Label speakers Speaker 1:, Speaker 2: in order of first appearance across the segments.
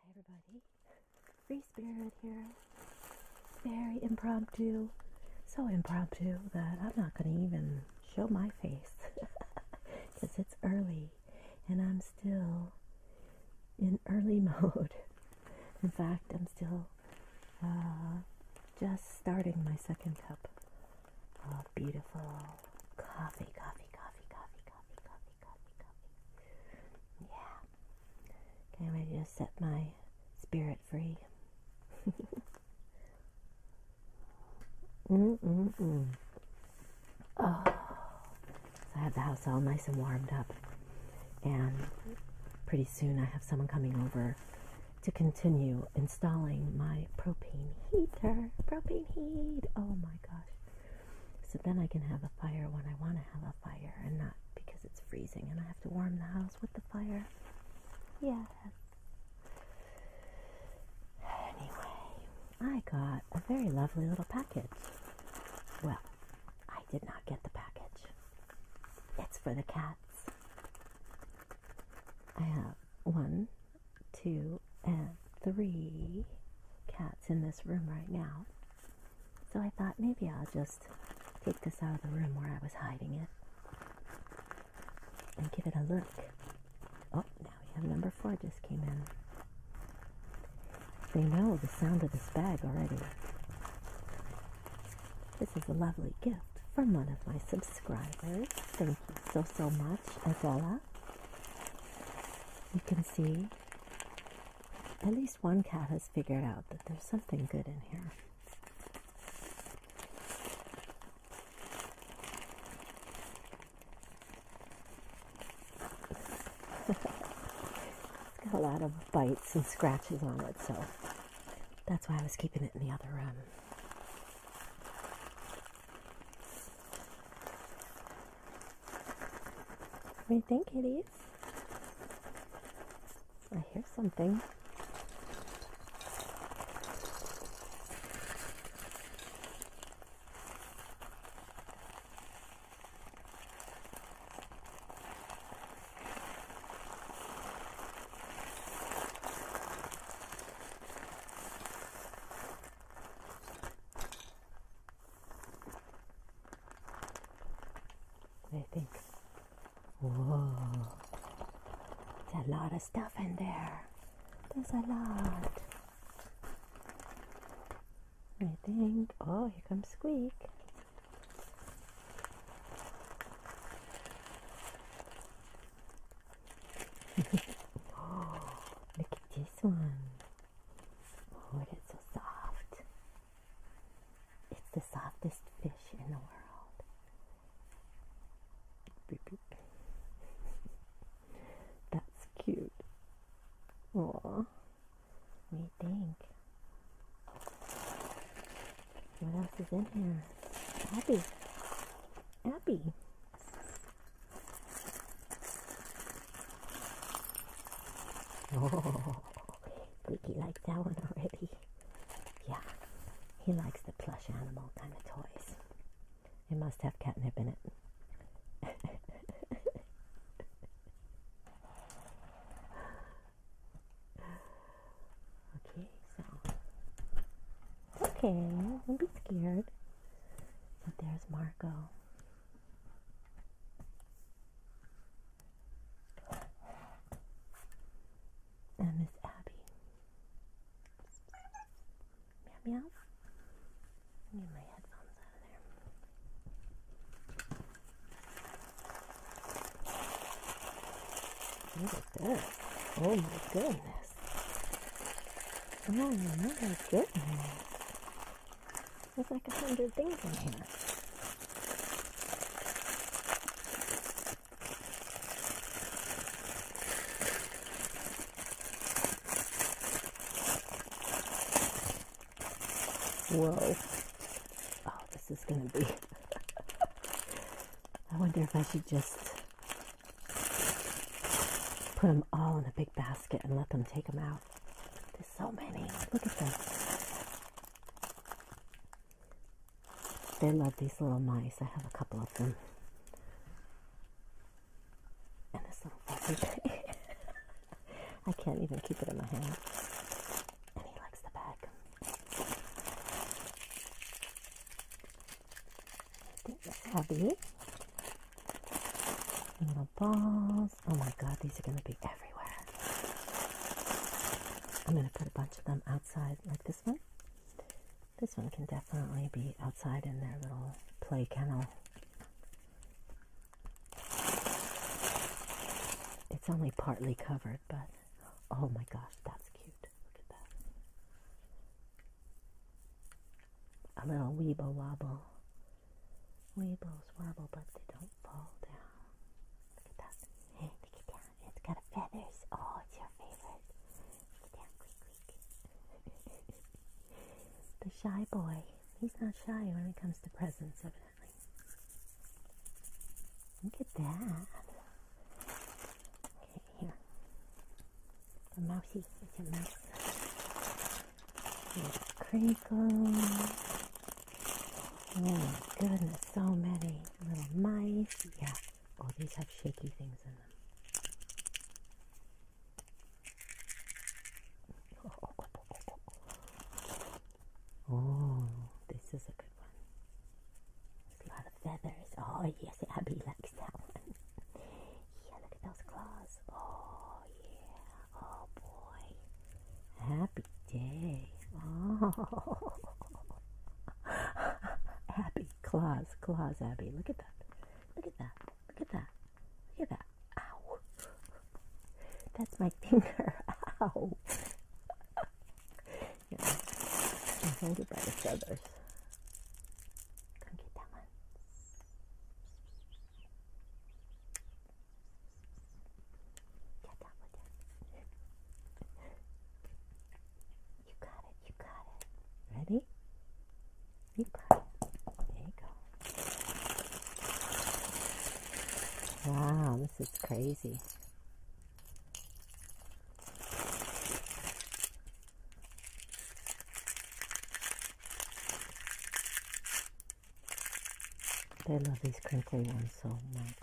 Speaker 1: Hi everybody, Free Spirit here. Very impromptu, so impromptu that I'm not going to even show my face because it's early and I'm still in early mode. in fact, I'm still uh, just starting my second cup of beautiful coffee, coffee, coffee, coffee, coffee, coffee, coffee, coffee. Yeah. Okay, I'm ready to set my spirit free. mm mm mm. Oh, so I have the house all nice and warmed up. And pretty soon I have someone coming over to continue installing my propane heater. Propane heat. Oh my gosh. So then I can have a fire when I want to have a fire and not because it's freezing and I have to warm the house with the fire. Yes. Anyway, I got a very lovely little package. Well, I did not get the package. It's for the cats. I have one, two, and three cats in this room right now. So I thought maybe I'll just take this out of the room where I was hiding it and give it a look. Oh, now we have number four just came in. They know the sound of this bag already. This is a lovely gift from one of my subscribers. Thank you so, so much, Azola. You can see at least one cat has figured out that there's something good in here it's got a lot of bites and scratches on it, so that's why I was keeping it in the other room. What do you think, kitties? I hear something. I think, whoa, it's a lot of stuff in there. There's a lot. I think. Oh, here comes Squeak. oh, look at this one. Oh, so soft. It's the softest fish in the world. That's cute. Oh, we think. What else is in here? Abby. Abby. Oh, Squeaky likes that one already. Yeah, he likes the plush animal kind of toys. It must have catnip in it. okay, so okay. Don't be scared. But there's Marco. And Miss Abby. Meow meow. Get my headphones out of there. Look this. Oh my goodness. Oh my goodness. There's like a hundred things in here. Whoa. Oh, this is going to be. I wonder if I should just put them all in a big basket and let them take them out. There's so many. Look at them. They love these little mice. I have a couple of them. And this little fuzzy tree. I can't even keep it in my hand. And he likes the bag. Abby. Little balls. Oh my god, these are going to be everywhere. I'm going to put a bunch of them outside like this one. This one can definitely be outside in their little play kennel. It's only partly covered, but oh my gosh, that's cute. Look at that. A little weeble wobble. Weebles wobble, but they don't fall down. Look at that. Look at that. It's got feathers. Oh, it's your favorite the shy boy. He's not shy when it comes to presents, evidently. Look at that. Okay, here. The mousey. It's a mouse. Here's crinkle. Oh, my goodness, so many little mice. Yeah. Oh, these have shaky things in them. Oh, this is a good one. There's a lot of feathers. Oh, yes, Abby likes that one. Yeah, look at those claws. Oh, yeah. Oh, boy. Happy day. Oh. Abby, claws, claws, Abby. Look at that. Look at that. Look at that. Look at that. Ow. That's my finger. Ow. yeah. I'm hungry by the feathers. Come get that one. Get that one. You got it, you got it. Ready? You got it. There you go. Wow, this is crazy. They love these crinkly ones so much.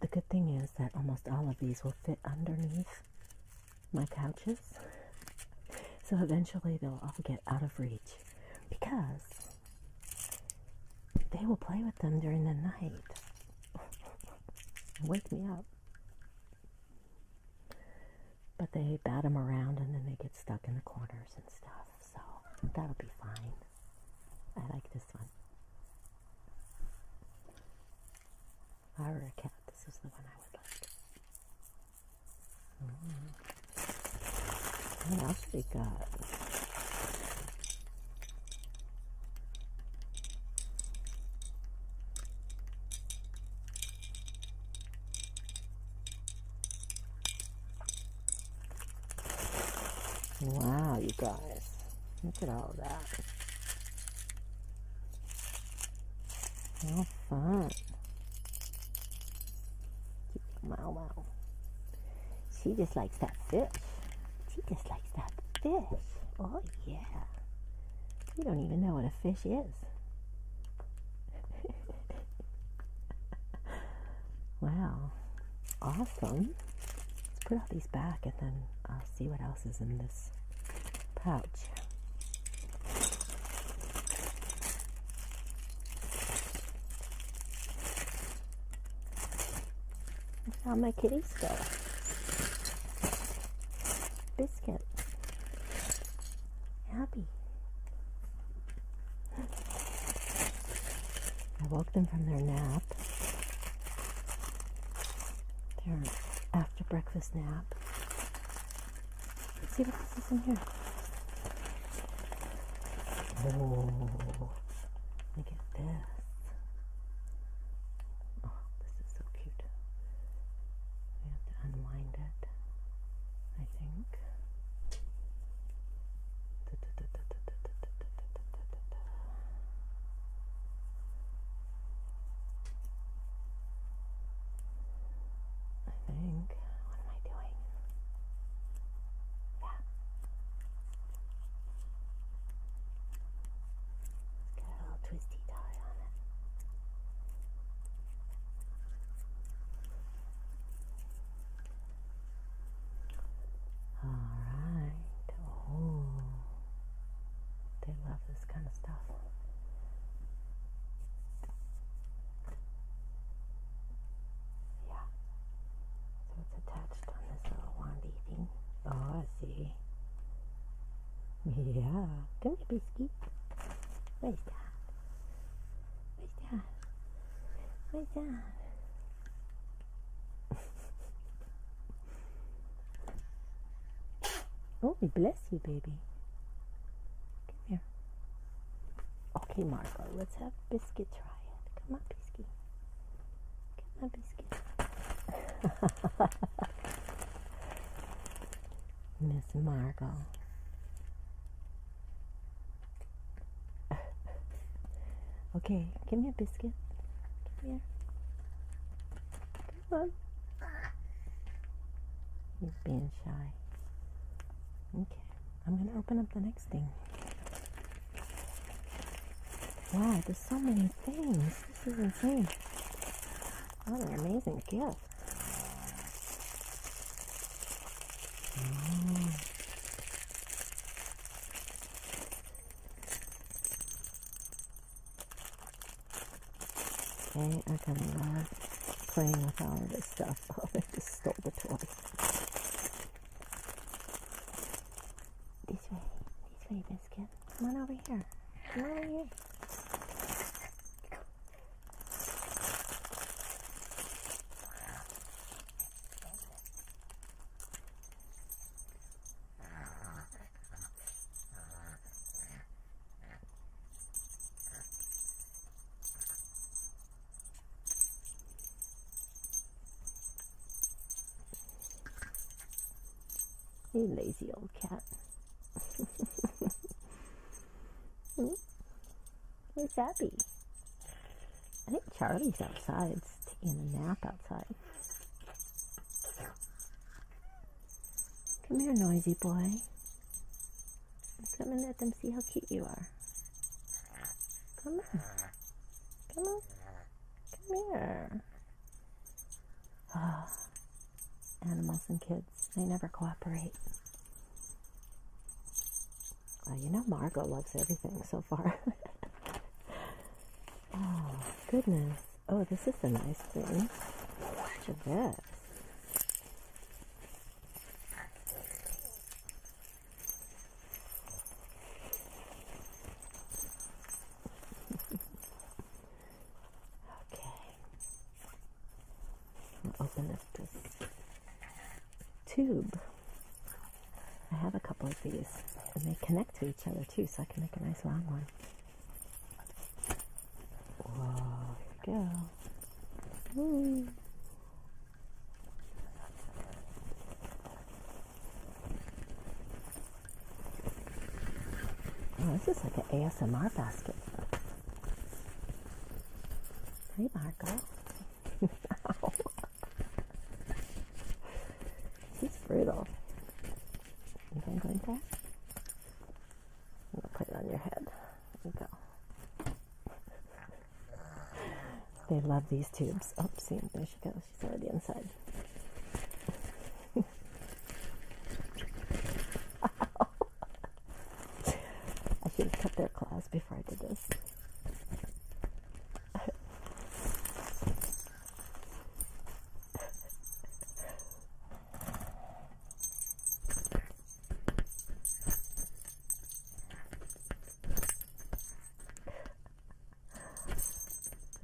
Speaker 1: The good thing is that almost all of these will fit underneath my couches. So eventually they'll all get out of reach because they will play with them during the night. Wake me up. But they bat them around and then they get stuck in the corners and stuff so that'll be fine. I like this one. I were a cat, this is the one I would like. Mm-hmm. What else we got? Wow, you guys. Look at all that. How fun. Wow, wow. She just likes that fish. She just likes that fish. Oh, yeah. You don't even know what a fish is. wow. Awesome. Let's put all these back and then I'll see what else is in this pouch. I found my kitty still. Biscuit happy. I woke them from their nap, their after breakfast nap. Let's see what this is in here. Oh, look at this. Oh, this is so cute. We have to unwind it, I think. I think. What am I doing? Yeah. let a little twisty tie on it. All right. Oh, they love this kind of stuff. Yeah. So it's attached on this little wandy thing. Oh, I see. Yeah. Come here, Biscuit. Where's that? Like that. Like that. oh, bless you, baby. Come here. Okay, Marco, let's have Biscuit try it. Come on, Biscuit. Come on, Biscuit. Miss Margot okay, give me a biscuit. Come here. Come on. He's being shy. Okay, I'm going to open up the next thing. Wow, there's so many things. This is insane. What an amazing gift well. Oh. Okay, I kind of love playing with all of this stuff. Oh, they just stole the toy. This way, this way, Biscuit. Come on over here. Come on over here. You lazy old cat. Hmm? Where's Abby? I think Charlie's outside, taking a nap outside. Come here, noisy boy. Come and let them see how cute you are. Come on. Come on. Come here. Ah, animals and kids. They never cooperate. you know Margot loves everything so far. oh, goodness. Oh, this is a nice thing. Watch this. Okay. open up this tube. I have a couple of these, and they connect to each other too, so I can make a nice long one. here we go. Ooh. Oh, this is like an ASMR basket. Hey, Marco. She's brutal. You think like I'm gonna put it on your head. go. they love these tubes. Oopsie, oh, there she goes. She's already inside. I should have cut their claws before I did this.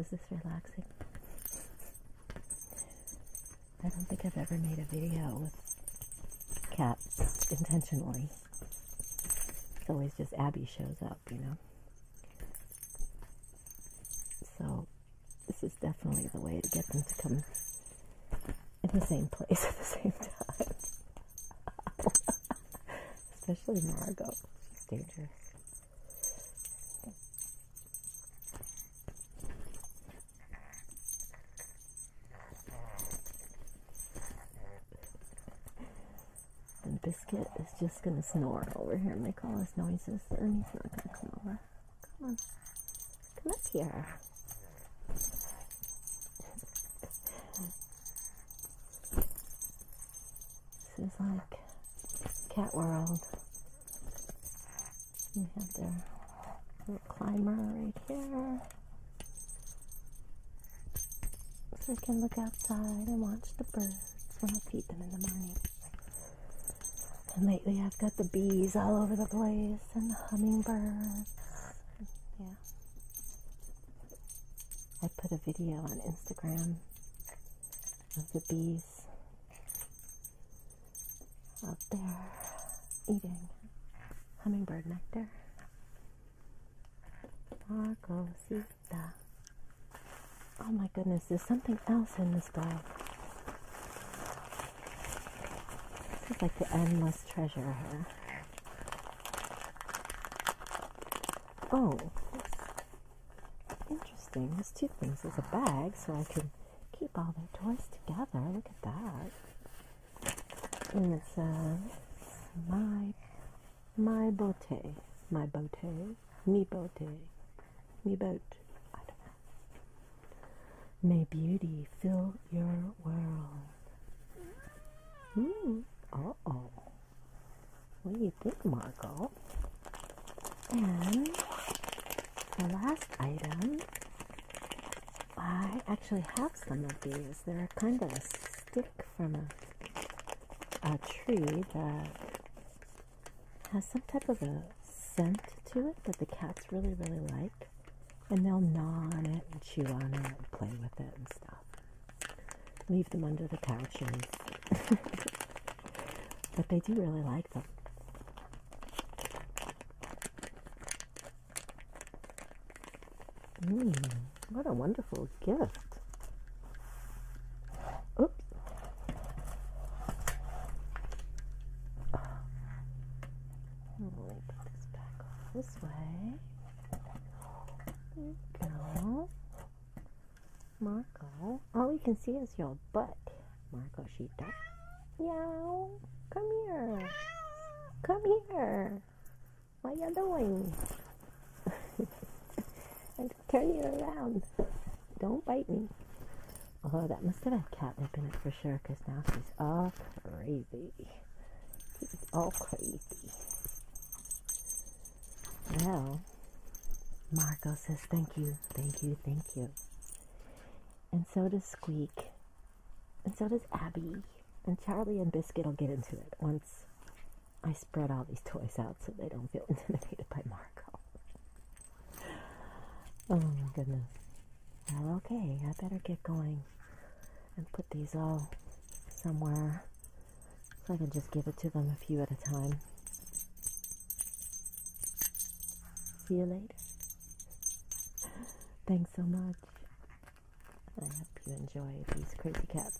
Speaker 1: Is this relaxing? I don't think I've ever made a video with cats intentionally. It's always just Abby shows up, you know. So this is definitely the way to get them to come in the same place at the same time. Especially Margot. She's dangerous. The biscuit is just gonna snore over here and make all his noises, and he's not gonna come over. Come on, come up here. This is like cat world. We have the little climber right here. So we can look outside and watch the birds when I feed them in the morning. And lately I've got the bees all over the place and the hummingbirds. Yeah. I put a video on Instagram of the bees out there eating hummingbird nectar. Marcosita. Oh my goodness, there's something else in this bag. This like the endless treasure here. Oh, Interesting. There's two things. There's a bag, so I can keep all their toys together. Look at that. And it says, uh, my, my bote. My bote. me bote. Mi boat. I don't know. May beauty fill your world. Mm. Uh-oh. What do you think, Marco? And the last item, I actually have some of these. They're kind of a stick from a, a tree that has some type of a scent to it that the cats really, really like. And they'll gnaw on it and chew on it and play with it and stuff leave them under the couch, but they do really like them. Hmm, what a wonderful gift. Oops. Oh, let me put this back this way. There you go. Marco, all we can see is your butt, Marco she Sheeta. Meow, come here. Come here. What you doing? and turn you around. Don't bite me. Oh, that must have had catnip in it for sure, because now she's all crazy. She's all crazy. Well, Marco says, Thank you, thank you, thank you. And so does Squeak. And so does Abby. And Charlie and Biscuit will get into it once I spread all these toys out so they don't feel intimidated by Marco. oh my goodness. okay, I better get going and put these all somewhere so I can just give it to them a few at a time. See you later. Thanks so much. I hope you enjoy these crazy cats.